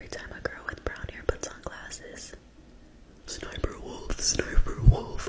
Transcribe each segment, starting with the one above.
Every time a girl with brown hair puts on glasses. Sniper wolf, sniper wolf.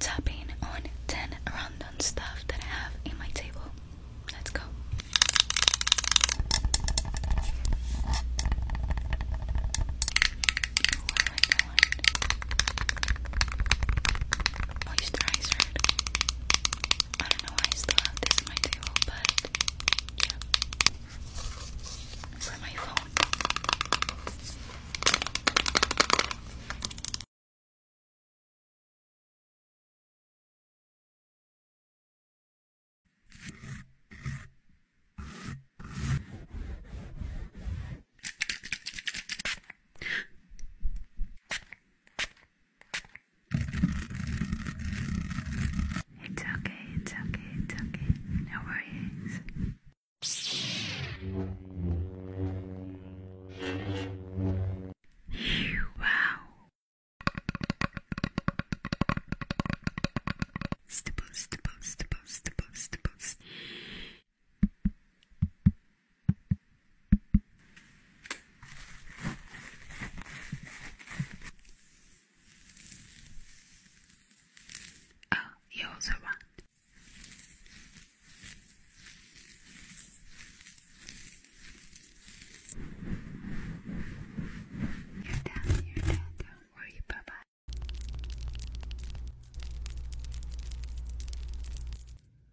Tapping on 10 random stuff that I have in my table. Let's go. What do I want? I still have this on my table, but yeah. For my phone. It's okay, it's okay, it's okay. No worries. wow. Stipple, stipple, stipple, stipple, stipple. Oh, you also want. You're done, you're don't worry, bye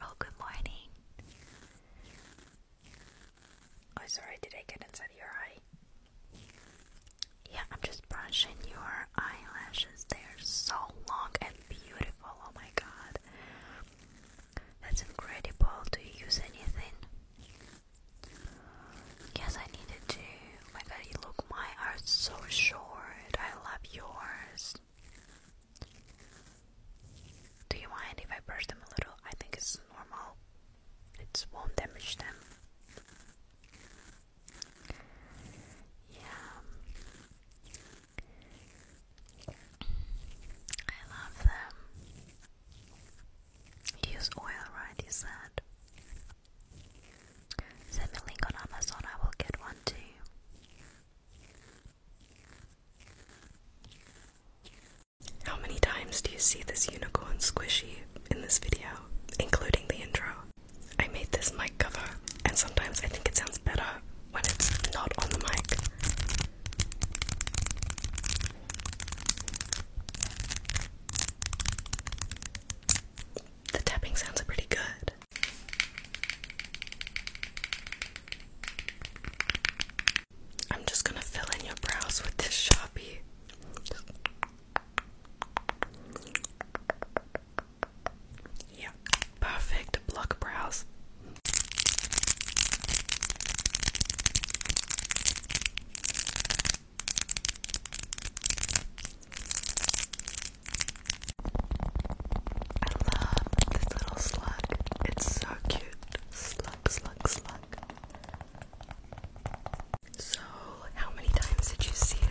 Oh, good morning. Oh, sorry, did I get inside your eye? Yeah, I'm just brushing your eyelashes. They are so long and beautiful. Oh my god. That's incredible. Do you use anything? Yes, I needed to. Oh my god, you look, mine are so short. I love yours. Do you mind if I brush them a little? I think it's normal. It won't damage them. Yeah. I love them. Use oil, right? You said. Send me a link on Amazon, I will get one too. How many times do you see this unicorn squishy in this video, including the intro? I made this mic cover, and sometimes I think it sounds better when it's not on the mic. The tapping sounds pretty good. I'm just gonna fill in your brows with this Sharpie. Yeah, perfect block brows. I love this little slug. It's so cute. Slug, slug, slug. So, how many times did you see it?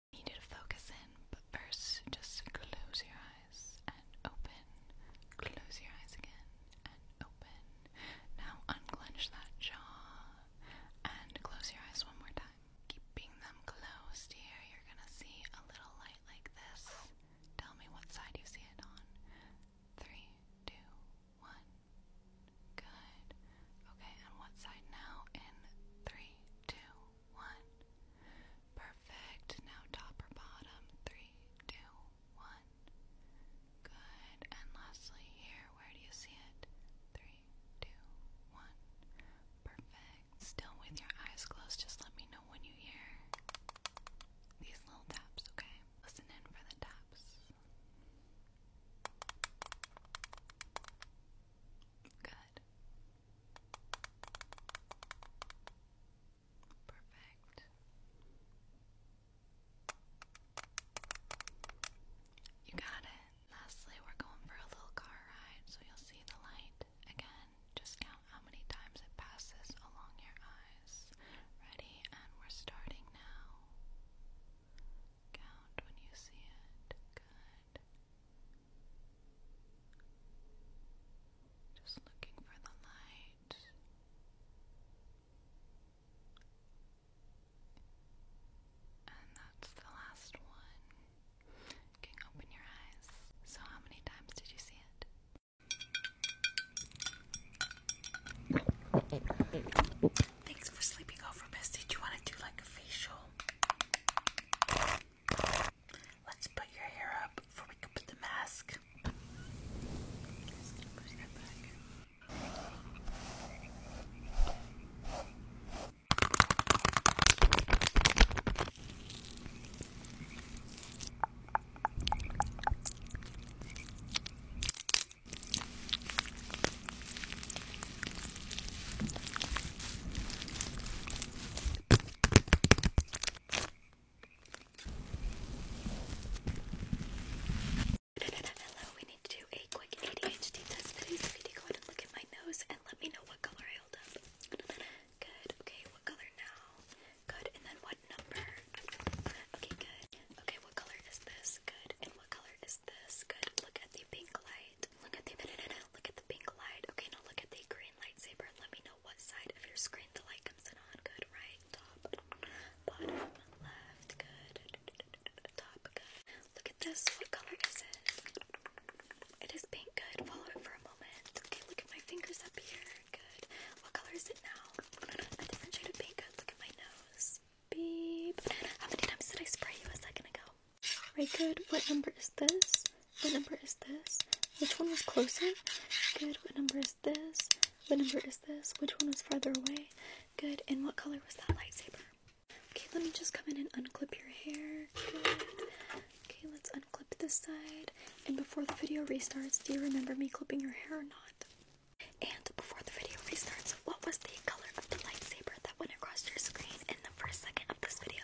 I need to focus in, but first just close your eyes and open. Close your eyes again and open. Now unclench that jaw and close your eyes one more time. Keeping them closed here, you're gonna see a little light like this. Tell me what side you see it on. Three, two, one. Good. Okay, on what side now? In three, two, one. Perfect. Now top or bottom? Three, two, one. Good. And lastly, here, where do you see it? Three, two, one. Perfect. Still with your eyes closed, just let me know when you hear these little taps, okay? Listen in for the taps. Good good. Perfect. You got it. Lastly, we're going for a little car ride, so you'll see the light again. Just count how many times it passes along your eyes. Ready? And we're starting now. Count when you see it. Good. Just looking for the light. And that's the last one. can open your eyes. So, how many times did you see it? Thanks for sleeping over, Miss. Did you want to do like a facial? Let's put your hair up before we put the mask. Hello, we need to do a quick ADHD test today, so go ahead and look at my nose and let me know what color I hold up. Good, okay, what color now? Good, and then what number? Okay, good. Okay, what color is this? Good, and what color is this? Good, look at the pink light. Look at the banana. Look at the pink light. Okay, now look at the green lightsaber. Let me know what side of your screen the light comes in on. Good, right? Top, bottom, left. Good. Top, good. Look at this. What color is it? It is pink. Good. Follow it for a moment. Okay, look at my fingers up here. Good. What color is it now? A different shade of pink. Good. Look at my nose. Beep. How many times did I spray you a second ago? Right, good. What number is this? What number is this? Which one was closer? Good. What number is this? What number is this? Which one was farther away? Good. And what color was that lightsaber? Okay, let me just come in and unclip your hair. Good. Okay, let's unclip this side. And before the video restarts, do you remember me clipping your hair or not? And before the video restarts, what was the color of the lightsaber that went across your screen in the first second of this video?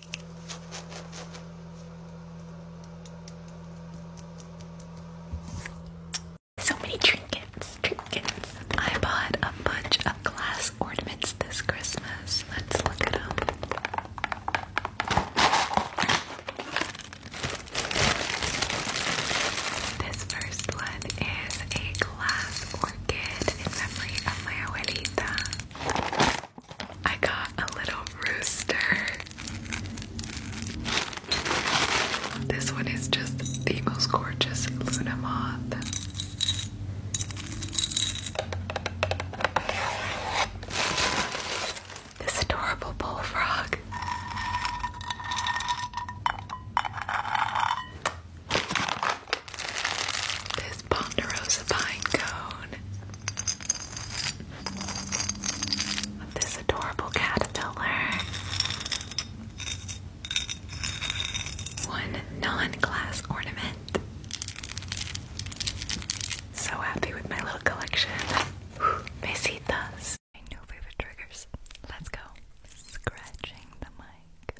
So many trinkets, trinkets. I bought a bunch of glass ornaments this Christmas. Let's look at them. This first one is a glass orchid in memory of my abuelita. I got a little rooster. This one is just the most gorgeous Luna moth. This adorable bullfrog. This ponderosa pine cone this adorable caterpillar. One non-glass ornament. So happy with my little collection. Besitas. My favorite triggers. Let's go. Scratching the mic.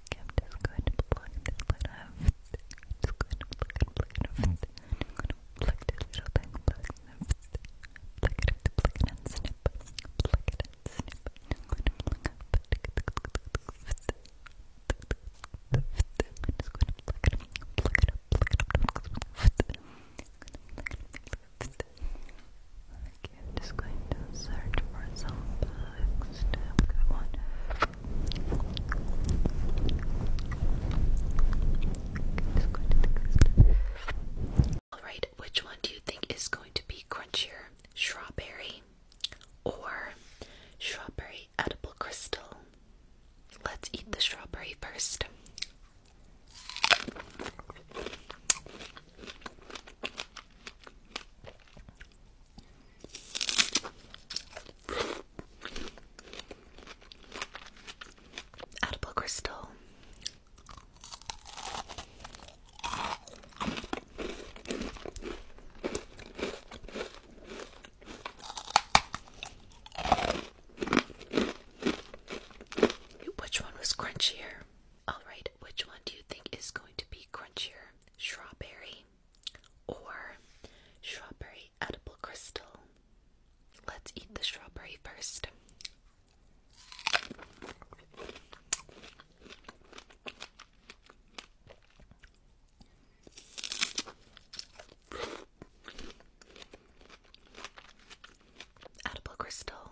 Okay, I'm just going to plug this light up. I'm just going to plug it, plug it up. I'm going to plug this little thing, plug it up. Plug it up, plug it and snip. Plug it and snip. I'm going to plug up. I'm just going to plug it up, plug it up, plug it up. I'm going to plug it up. Okay, I'm just going Alright, which one do you think is going to be crunchier? Strawberry or strawberry edible crystal? Let's eat the strawberry first. Edible crystal. Which one was crunchier? All right, which one do you think is going to be crunchier? Strawberry or strawberry edible crystal. Let's eat the strawberry first. Edible crystal.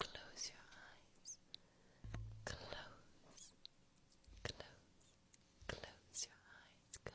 Close your eyes. Close. Close. Close your eyes. Good.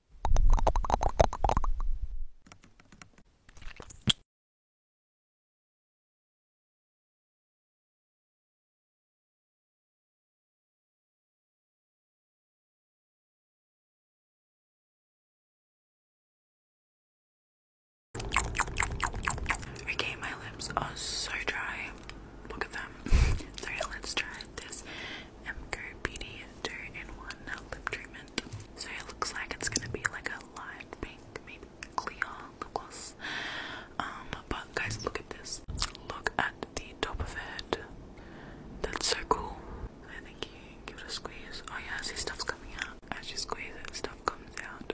Okay, my lips are so dry. Look at them. so let's try this MCO 2 in 1 lip treatment. So it looks like it's gonna be like a light pink, maybe clear lip gloss. Um, but guys, look at this. Look at the top of it. That's so cool. I think you give it a squeeze. Oh yeah, see stuff's coming out. As you squeeze it, stuff comes out.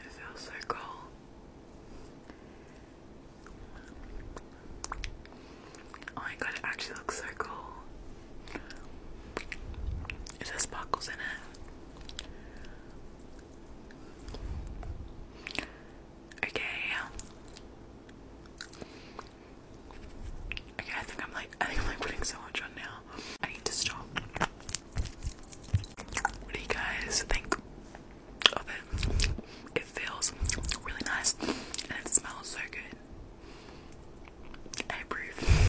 It feels so cool. Oh my god, it actually looks so cool. Is there sparkles in it? Okay. Okay, I think I'm like I think I'm like putting so much on now. I need to stop. What do you guys think of it? It feels really nice and it smells so good. I approve.